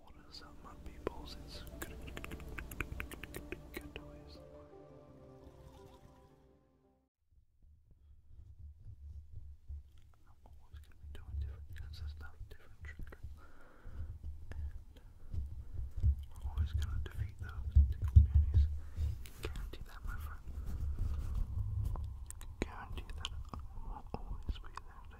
What is up, my people? It's good, good, I'm always going to be different kinds of stuff, different triggers, and we always going to defeat those tickle panties. Guarantee that, my friend. Guarantee that I will always be there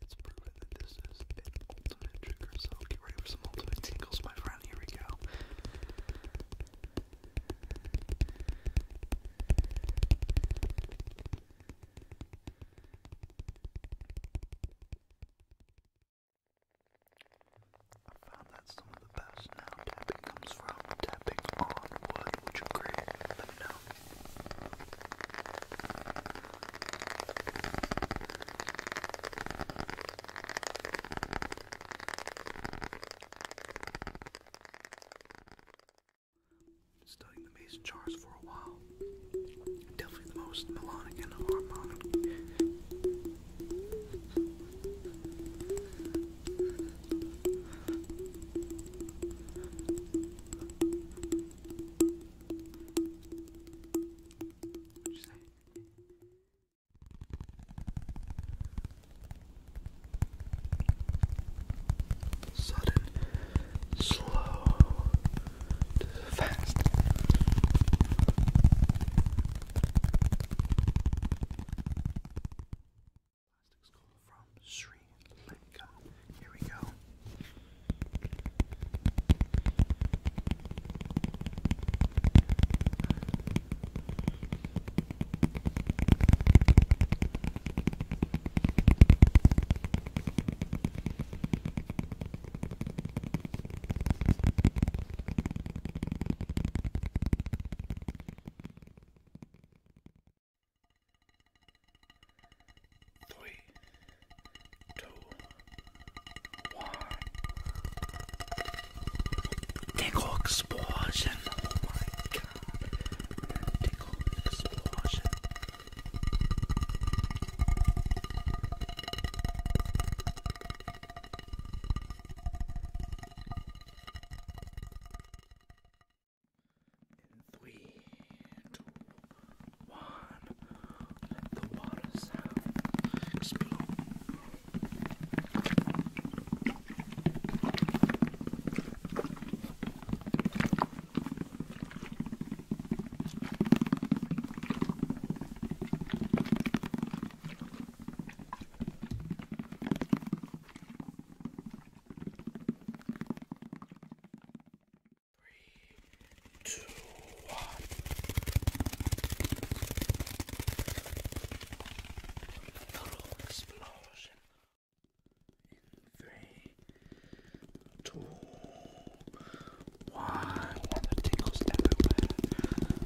It's proven that this is an ultimate trigger, so get ready for some ultimate tingles, my friend. Here we go. I found that some of the best now tapping comes from tapping on wood. which you agree? Let Studying the mason jars for a while. Definitely the most melodic and harmonic you say? Sudden, slow, fast. Plastic skull from Sri Lanka. Here we go. Three, two, one. Tickle explosion. Oh my god. Tickle explosion. In three, two, one, let the water sound explode. Three, two, one. Total explosion. In three, two, one. And the tingles everywhere.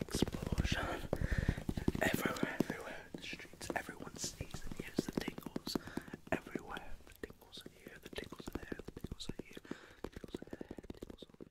Explosion. Everywhere, everywhere in the streets. Everyone sees and hears the tingles. Everywhere. The tingles are here, the tingles are there, the tingles are here, tingles are there, tingles are here.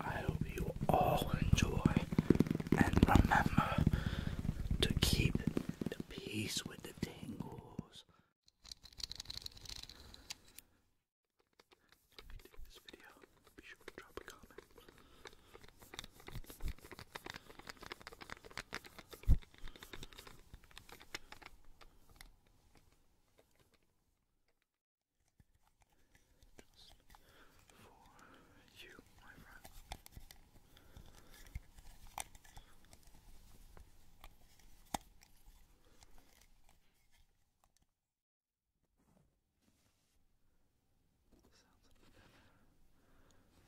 I hope you all enjoy and remember to keep the peace with the tingles. If you dig this video, be sure to drop a comment. Just for you, my friend. sounds of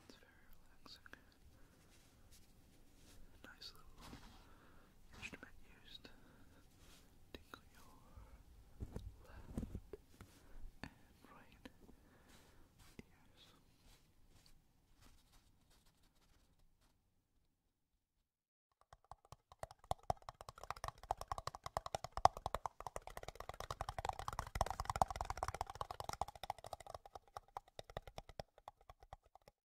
the pepper. It's very relaxing. Nice little instrument used to your left and right ears.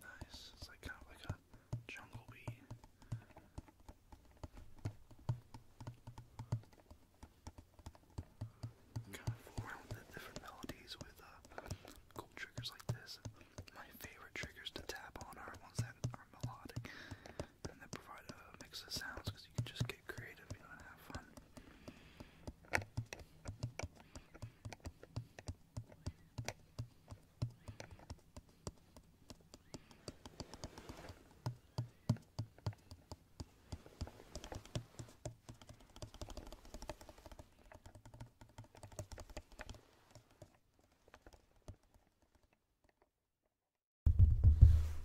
Nice. It's like kind of like a jungle bee. Kind of fool around with different melodies with uh, cool triggers like this. My favorite triggers to tap on are ones that are melodic and that provide a mix of sounds because you can just get creative, you know, and have fun.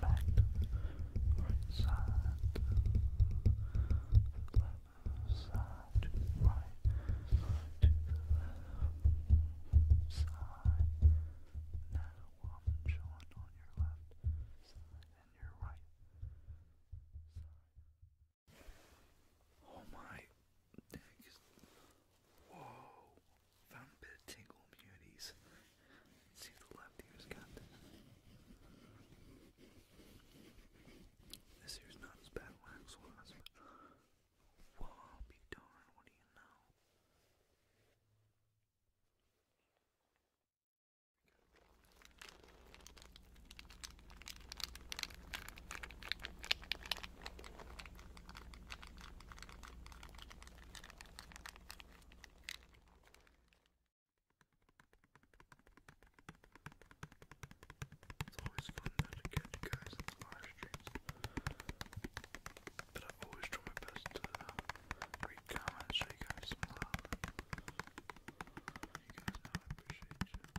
back to right side, left side, right, side. Now I'm showing on your left side and your right Oh my Whoa! Found a bit of tingle immunities. Let's see if the left ear's got this. This ear's not as bad wax was, but be darned, what do you know? It's always fun to get you guys in the live streams. But I always try my best to uh, read comments, show you guys some love. You guys know I appreciate you.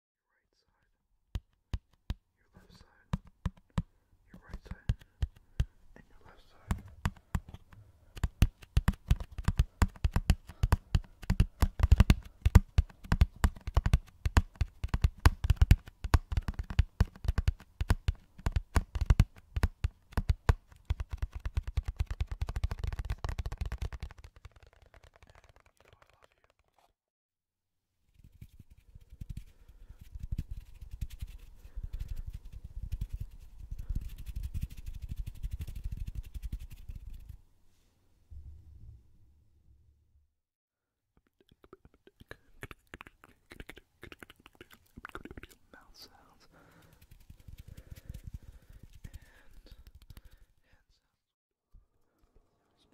your right side, your left side, your right side, and your left side. And you know I love you. Mouth sounds and hand sounds you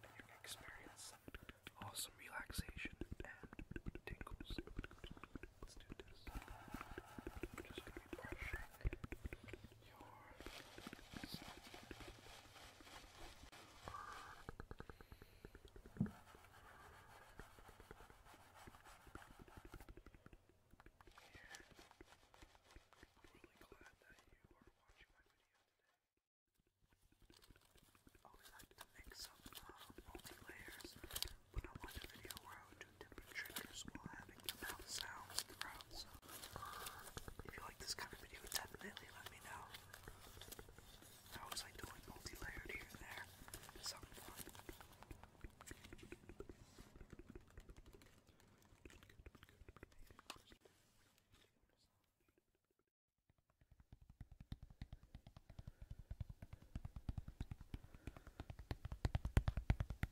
can experience awesome relaxation and tingles. Let's do this. I'm just going to be brushing always like to mix up multi-layers, but I want a video where I would do different triggers while having the sounds throughout, if you like this kind of video, definitely let me know. I always like doing multi-layered here and there. It's something fun.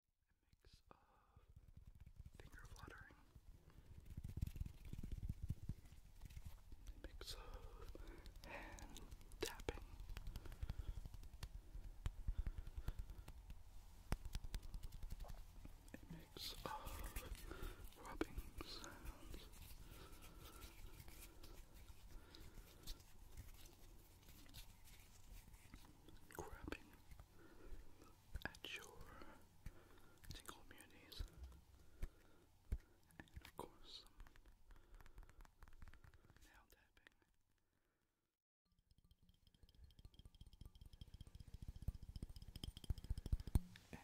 mix of finger fluttering, a mix of hand tapping, a mix of rubbing sounds. Grabbing, at your tingle and of course nail tapping. And uh,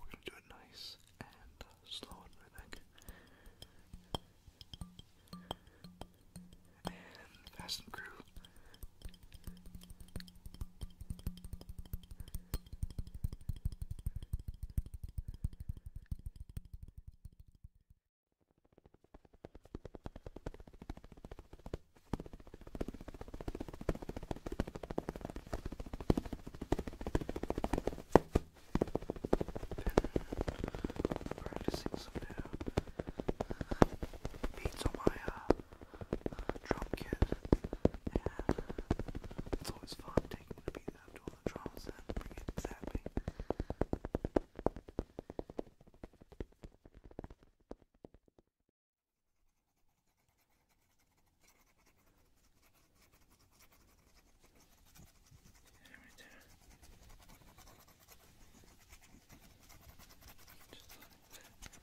we're gonna do it nice and uh, slow and rhythmic. And fast and groove. Been practicing some new beats on my uh, drum kit, and it's always fun taking the beat out to all the drums and bringing it zapping. Just like that.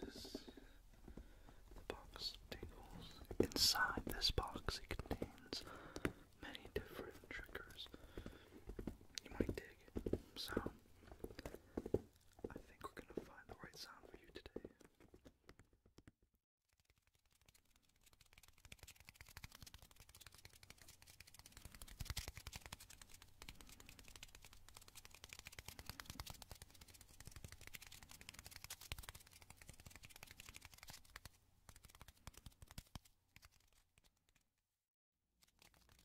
This is the box tingles. Inside this box, it contains many different triggers you might dig. So, I think we're going to find the right sound for you today. Going to fix any sort of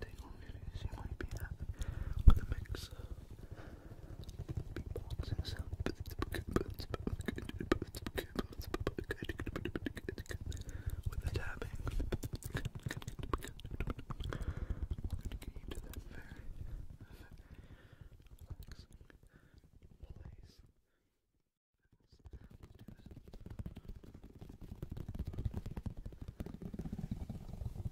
tingle issues you might be having with a mixer beatboxing sound. With the tapping. We're gonna get you to that very, very relaxing place. Let's do this.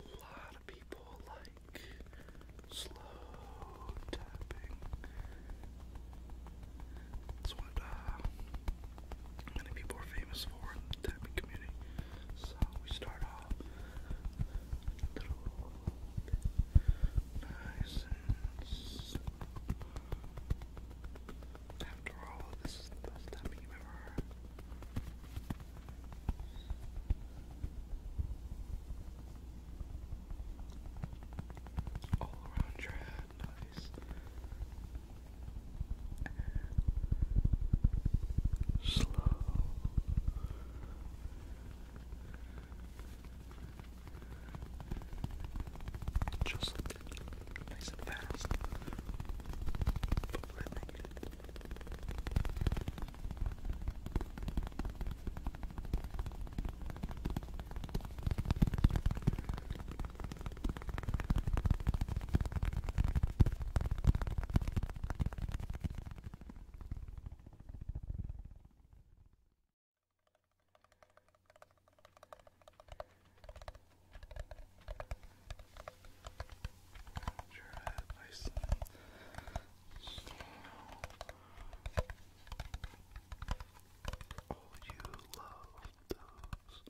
A lot of people like slow tapping. That's what uh, many people are famous for in the tapping community. So we start off little nice and slow. After all, this is the best tapping you've All around your head, nice. Slow. Just like that nice and fast. But I think Bison. you love those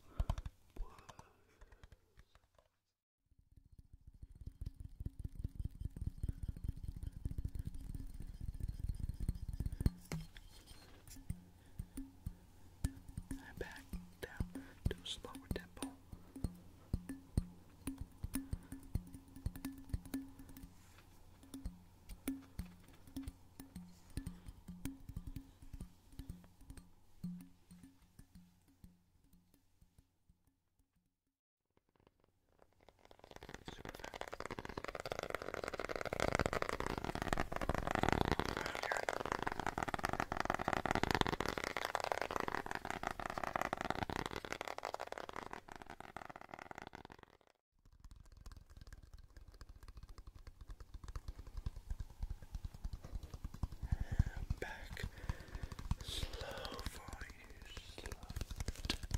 and back down to a slower tempo. Super fast. Back slow for you, slow.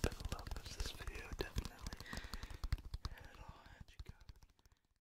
I love this video, definitely. And I'll let you go.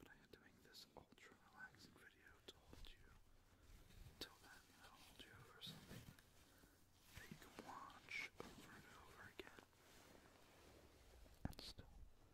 But I had to this ultra relaxing video to hold you until then, you know, hold you over something that you can watch over and over again and still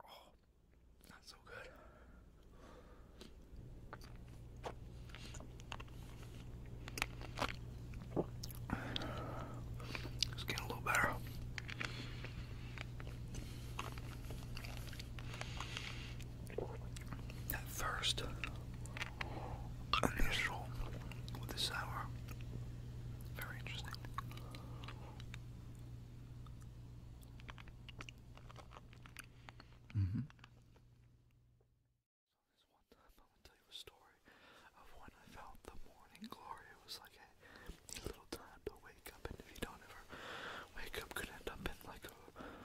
Oh, not so good. It's getting a little better. That first initial with the sour. Very interesting. Mm hmm This one time I will tell you a story of when I felt the morning glory. It was like a little time to wake up, and if you don't ever wake up, could end up in like a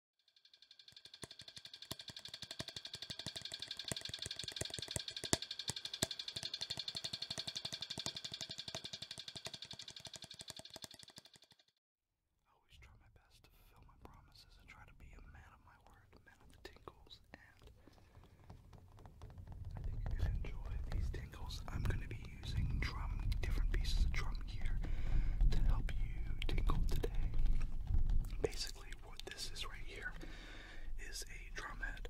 I always try my best to fulfill my promises and try to be a man of my word, man of the tingles, and I think you can enjoy these tingles. I'm going to be using drum, different pieces of drum gear to help you tingle today. Basically, what this is right here is a drum head,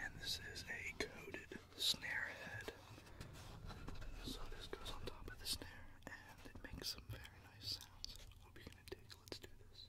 and this is a coated snare head. So this goes on top of the snare, and it makes some very nice sounds. Hope you're gonna dig. Let's do this.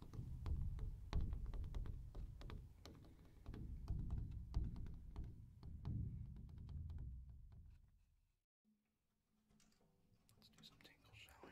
Let's do some tingles, shall we?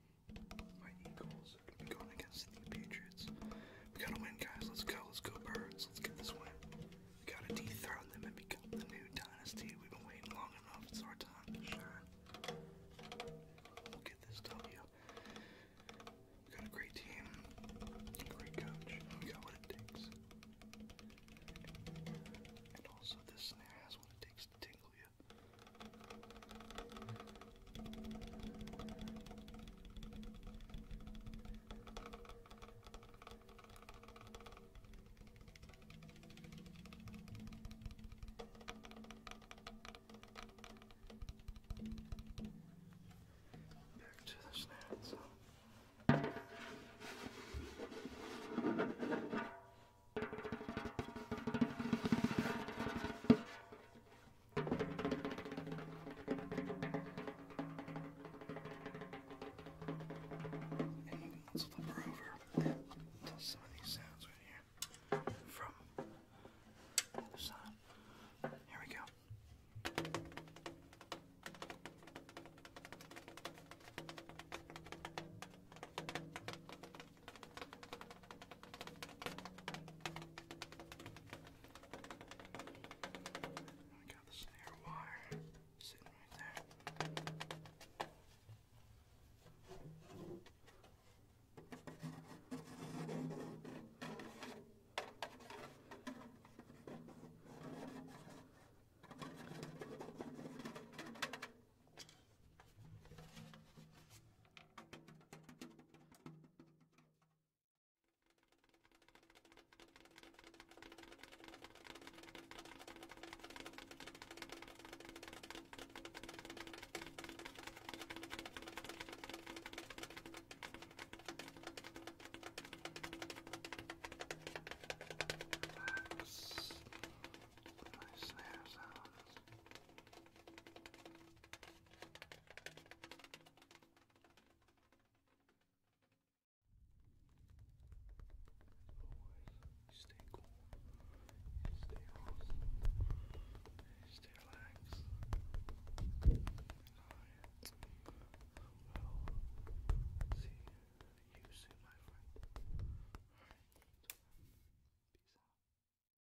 My Eagles are be going against the Patriots. We gotta win, guys. Let's go. Let's go, Birds. Let's get this win. We gotta dethrone them and become the new dynasty. We've been waiting long enough. It's our time to shine. We'll get this W. We got a great team, a great coach. We got what it takes. And also, this snare has what it takes to tingle you. Back to the snaps. And let's flip her over to some of these sounds right here from the other side. Here we go. I got the snare wire sitting right there. Relax. Nice snare sounds always, you stay cool, you stay awesome, you stay relaxed. I will see you soon, my friend. Alright, peace out.